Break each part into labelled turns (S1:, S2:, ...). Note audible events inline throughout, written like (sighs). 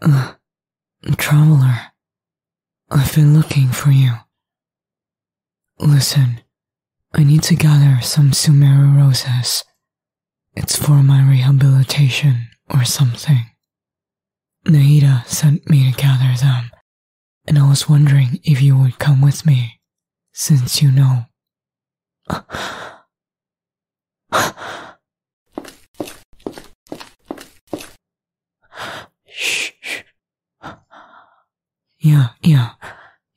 S1: Uh, traveler, I've been looking for you. Listen, I need to gather some Sumeru roses. It's for my rehabilitation or something. Naida sent me to gather them, and I was wondering if you would come with me, since you know.
S2: Yeah, yeah,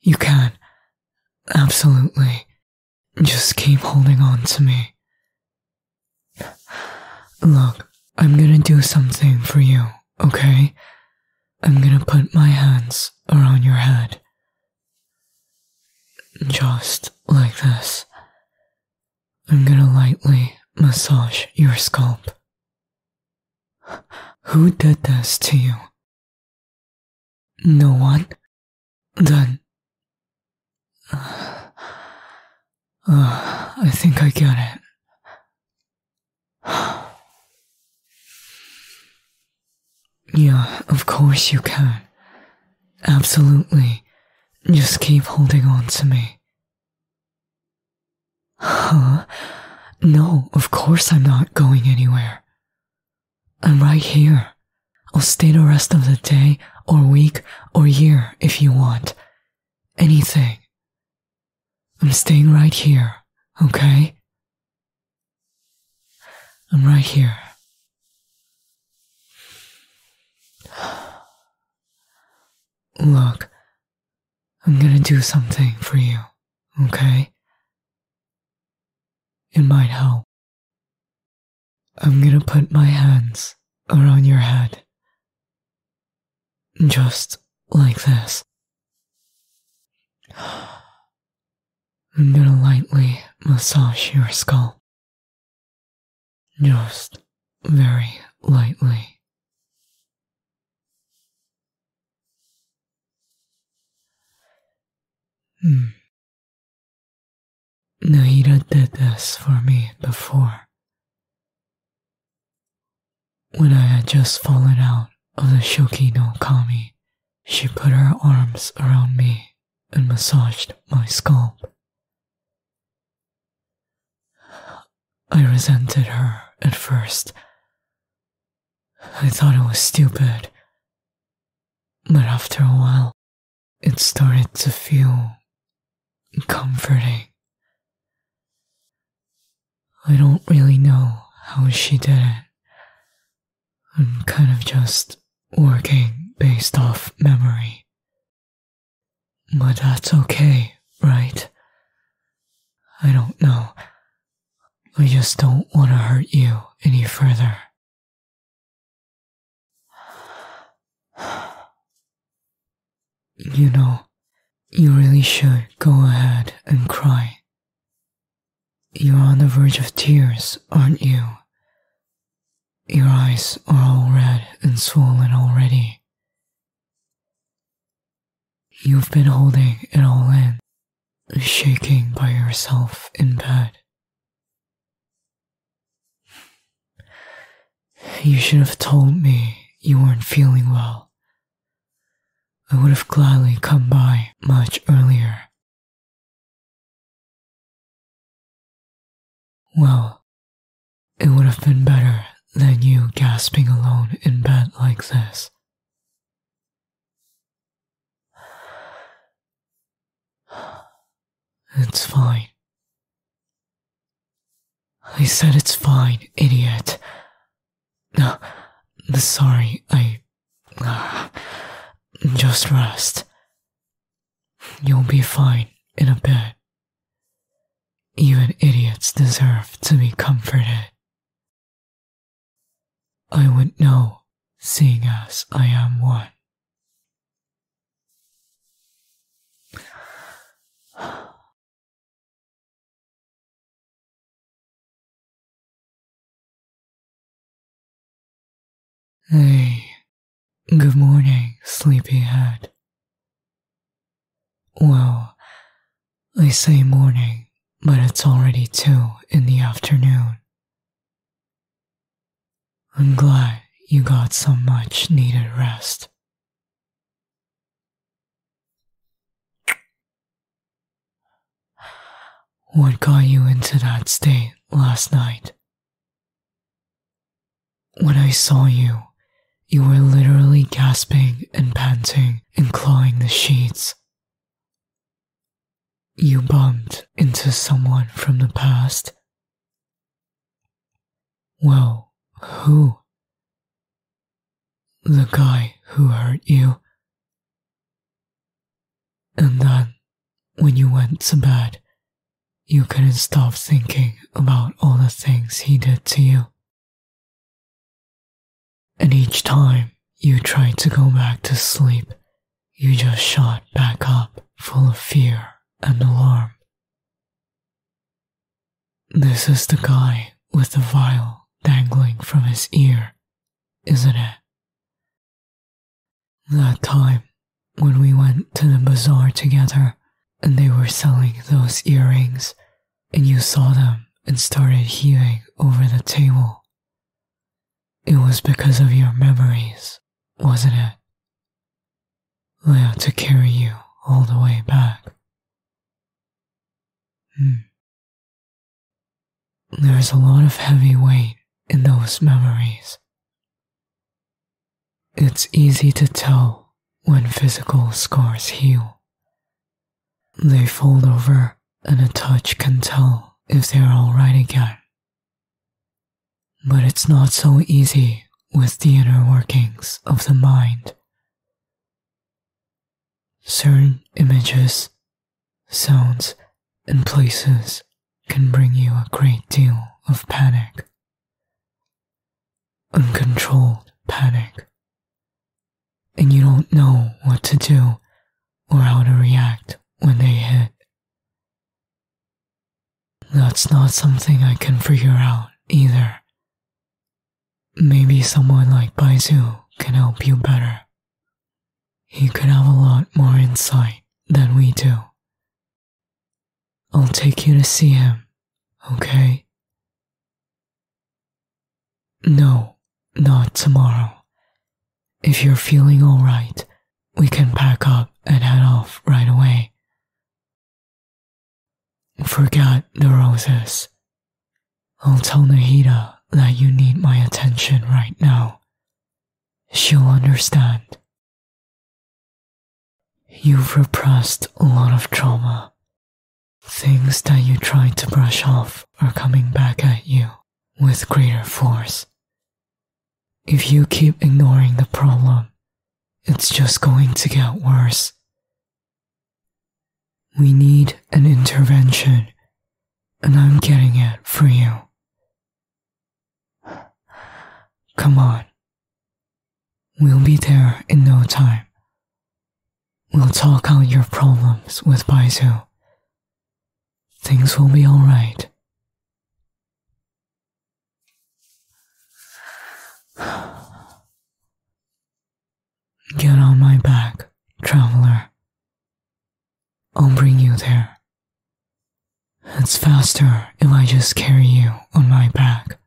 S2: you can.
S1: Absolutely. Just keep holding on to me. Look, I'm gonna do something for you, okay? I'm gonna put my hands around your head. Just like this. I'm gonna lightly massage
S2: your scalp. Who did this to you? No one? Then. Uh, uh, I think I get it. Yeah, of
S1: course you can. Absolutely. Just keep holding on to me. Huh? No, of course I'm not going anywhere. I'm right here. I'll stay the rest of the day, or week, or year if you want. Anything. I'm staying right here, okay? I'm right here.
S2: Look, I'm gonna do something for you, okay? It might help. I'm gonna put my hands around your head. Just like this. I'm gonna lightly massage your skull. Just very lightly. Hmm. did this for me before. When I had just fallen out of the Shoki
S1: no Kami she put her arms around me and massaged my
S2: scalp. I resented her at first. I thought it was stupid. But after a while, it started to feel comforting. I don't really know
S1: how she did it. I'm kind of just working based off memory. But that's okay,
S2: right? I don't know. I just don't want to hurt you any further. You know, you really should go
S1: ahead and cry. You're on the verge of tears, aren't you? Your eyes are all red and swollen already. You've been holding it all in, shaking by yourself in bed. You should have told me you weren't feeling well.
S2: I would have gladly come by much earlier. Well, it would have been better than you gasping alone in bed like this. It's fine. I said it's fine, idiot. No, sorry, I. (sighs)
S1: just rest. You'll be fine in a bit. Even idiots deserve to be comforted.
S2: I would know, seeing as I am one. Hey, good morning, sleepyhead. Well,
S1: I say morning, but it's already two in the afternoon.
S2: I'm glad you got so much needed rest. What got you into that state last night?
S1: When I saw you, you were literally gasping and panting and clawing the sheets. You bumped into someone from the past. Well, who? The guy who hurt you. And then, when you went
S2: to bed, you couldn't stop thinking about all the things he did to you. And each time you tried to go back to sleep, you just shot back up full of fear an alarm. This is the guy with the vial dangling from his ear, isn't it?
S1: That time when we went to the bazaar together and they were selling those earrings, and you saw them and started heaving over the table. It was because of your memories wasn't it?
S2: Leo took to carry you all the way back. Hmm. There is a lot of heavy weight in those memories. It's easy to
S1: tell when physical scars heal. They fold over, and a touch can tell if they're alright again but it's not so easy with the inner workings of the mind. Certain images, sounds, and places can bring you a great deal of panic. Uncontrolled panic. And you don't know what to do or how to react when they hit that's not something I can figure out either. Maybe someone like Baizu can help you better. He could have a lot more insight than we do. I'll take you to see him, okay? No, not tomorrow. If you're feeling alright, we can pack up and head off right away. Forget the roses. I'll tell Nahida
S2: that you need my attention right now. She'll understand. You've repressed a lot of trauma. Things that you tried to brush off are coming back at you with
S1: greater force. If you keep ignoring the problem, it's just going to get worse. We need an intervention, and I'm getting it for you. Come on. We'll be there in no time. We'll talk out your problems with Baizu.
S2: Things will be alright. Get on my back, traveler. I'll bring you there.
S1: It's faster if I just carry you on my back,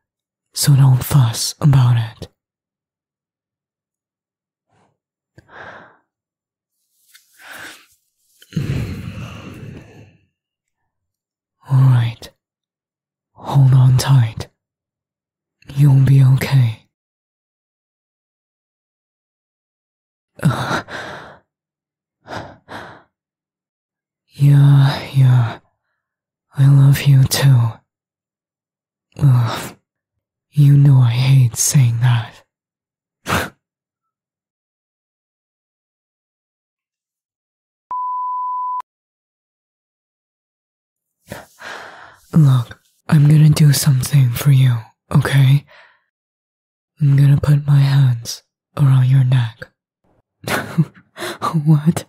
S2: so don't fuss about it. All right. Hold on tight. You'll be okay. (sighs) yeah, yeah. I love you too you know I hate saying that. Look, I'm gonna do something for you, okay? I'm gonna put my hands around your neck. (laughs) what?